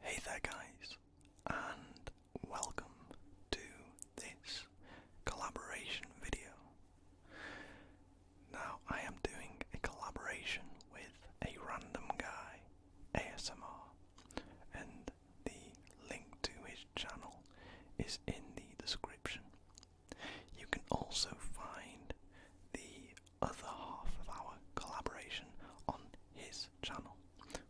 Hey there, guys, and welcome to this collaboration video. Now, I am doing a collaboration with a random guy, ASMR, and the link to his channel is in the description. You can also find the other half of our collaboration on his channel,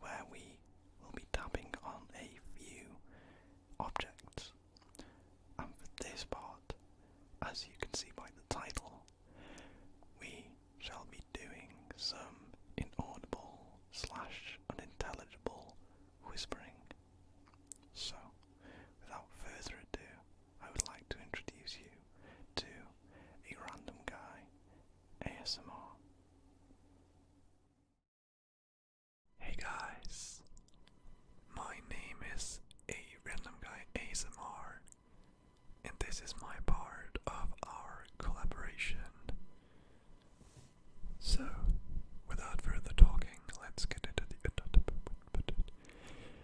where we will be tapping on a few objects. And for this part, as you can see by the title, we shall be doing some inaudible slash unintelligible whispering. So, without further ado, I would like to introduce you to a random guy ASMR. Hey guys, my name is a random guy ASMR, and this is my part of our collaboration. So, without further talking, let's get into the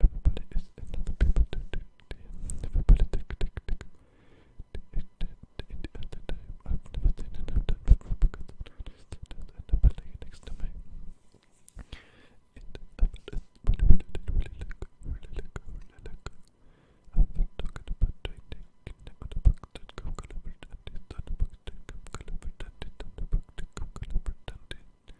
Everybody is another people to do. Everybody tick tick tick. At the time, I've never seen enough time for because there's another lady next to me. It happened as really, really, really, really, really, I've been talking about training about the book that come collaborate and it's not a book that come collaborate and it's not a book that come collaborate and it's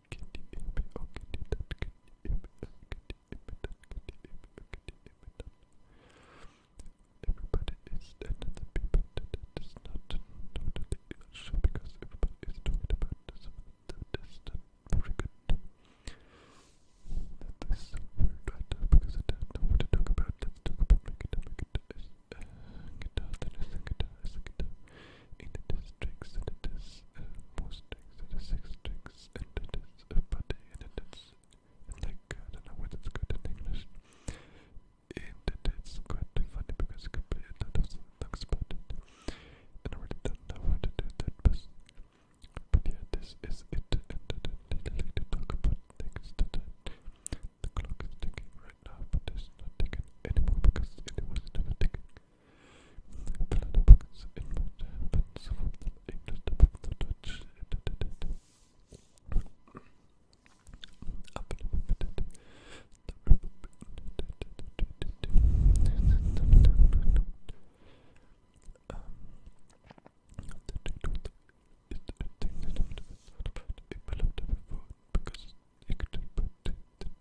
Everybody is dead and the not totally because everybody is talking about this that is not very good. That is weird because I don't know to talk about. let talk about my and it is tricks, it is uh, tricks, it is six tricks, it is uh, a buddy, it is like, I don't know what it's good in English. it is quite funny because you can about it. And I really don't know how to do but, this is it. And I don't to talk about things the clock is ticking right now, but it's not ticking anymore because it was never ticking. Planet books in Latin, but some of them English, above the Dutch. I've never been it. I've um, the TikTok is a thing that I've never thought about. It will have never thought because it could have put the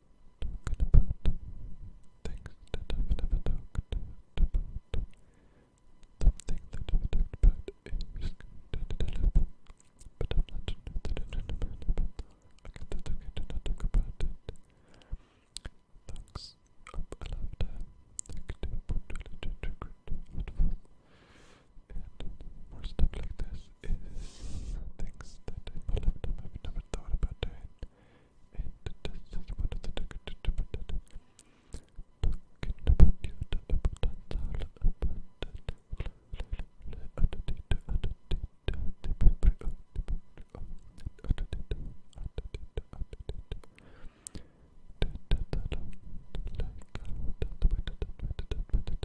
talking about things that I've never talked about. Something that I've talked but I'm not sure about it. Thanks up a lifetime. Thank you to Portugal, to Secret, and more stuff like this is things that I might have never thought about doing. And this is one of the things that about it. Talking about you, talking about that, all about that. Like,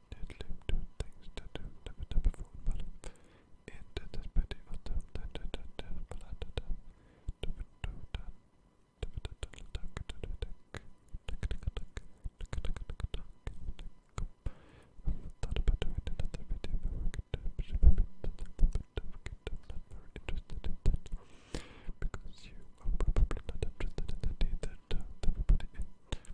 Noodling doing things that I've never done before in don't do, but don't do. Never do that. Never to push it a Because you are probably not interested in that Everybody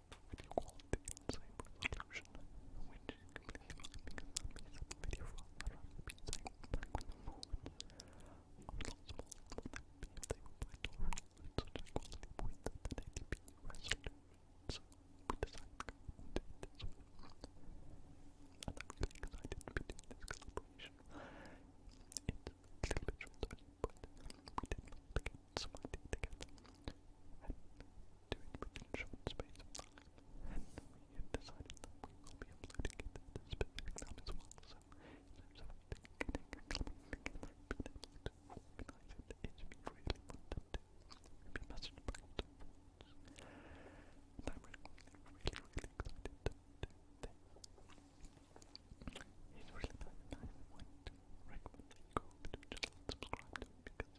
video quality insane resolution, which is completely fine because that means that the video file that I've been saying back when the moments are a lot smaller than they would be if they were by Dory at such a quality with the 1080p resolution. So we decided to go and do it this way. And I'm really excited to be doing this collaboration. It's a little bit short, but we did not get sweaty together. And doing within short space And we decided that we will be uploading it at a specific time as well. So, so, so getting together, being able to organize it if we really wanted to. We've been messaged back and forth. And I'm really, really, really excited to do this. It's really nice and I would recommend that you go over to the channel and subscribe to it because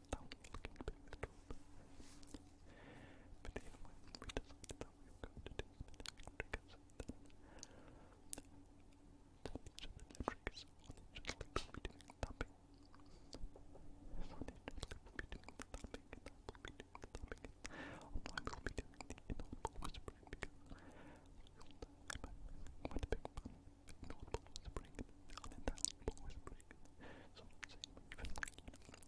without looking back at the But anyway, we decided that we were going to do some triggers and then each of the new triggers on each of the lips will be doing tapping. So on each of the lips will be doing the tapping and I will be doing the tapping and I will be doing the inaudible whispering because I feel that I'm quite a big fan of North Pole is pregnant, I mean that Pole is pregnant. So i you find the North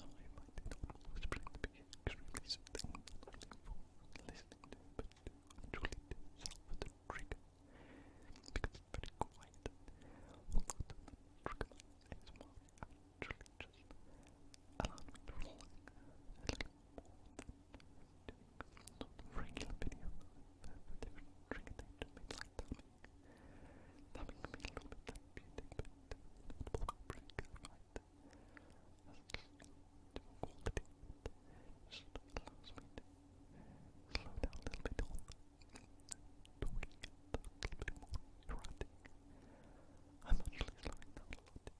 to be extremely something I'm looking for listening to, to trigger. Because it's very quiet. trigger is more actually just allow me to relax a little more than doing regular video but with different trigger thing to make like thumbing. Thumbing can be a little bit therapeutic, but the block break right has a different quality. It just allows me to slow down a little bit on doing it a little bit more erratic. I'm actually slowing down a lot.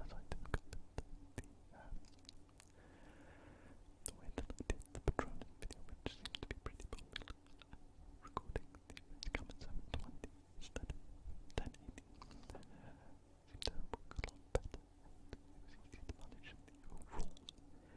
as I took the, uh, the way that I did the Patronus video, which seemed to be pretty popular, recording the come at 720 instead of 1080 and it was easy overall video a lot smaller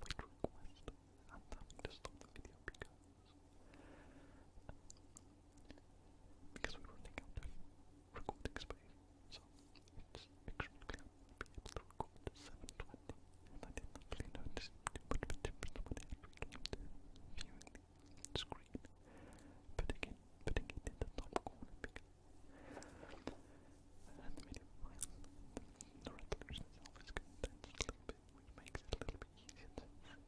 quick wait request. i having to stop the video because because we're running of recording space. So it's extremely hard to record 720 and I didn't actually notice too much it actually came to viewing the screen. Putting it putting it in the top corner and the resolution itself is condensed a little bit, which makes it a little bit easier it doesn't make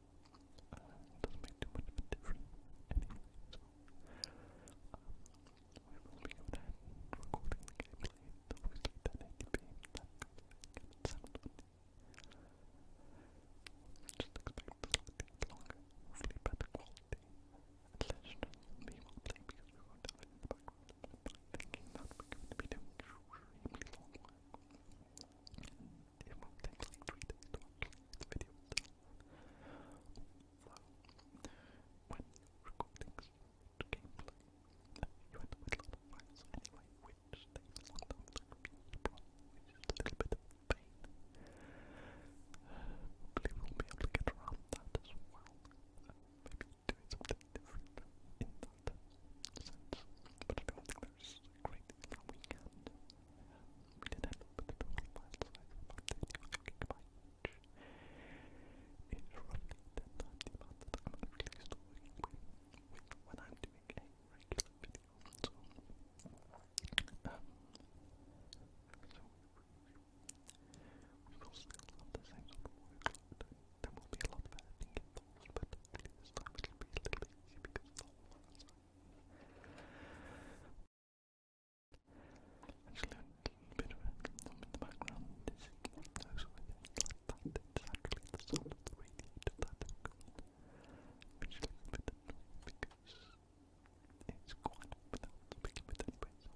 too much of a difference we will be recording the gameplay, obviously of thing, it. Just expect slightly longer, hopefully better quality, and less than me while because we won't have it in the thinking that take like three days to actually the video done. So, when recording gameplay, you end up a lot of files anyway, which takes a little bit of pain. Uh, hopefully we'll be able to get around that as well doing something different in that sense. But I think there's a great deal that we can. We did end up with a total file size of about 32 gigabytes. It's roughly 10 times the amount that I'm actually when I'm doing a regular video. So, um, we, will still have the same sort of workload there will be a lot of editing but this time it'll be a little bit because Actually, a bit of random in the background. This is one of the sound of that will go on, which is a bit annoying because it's quite loud speaking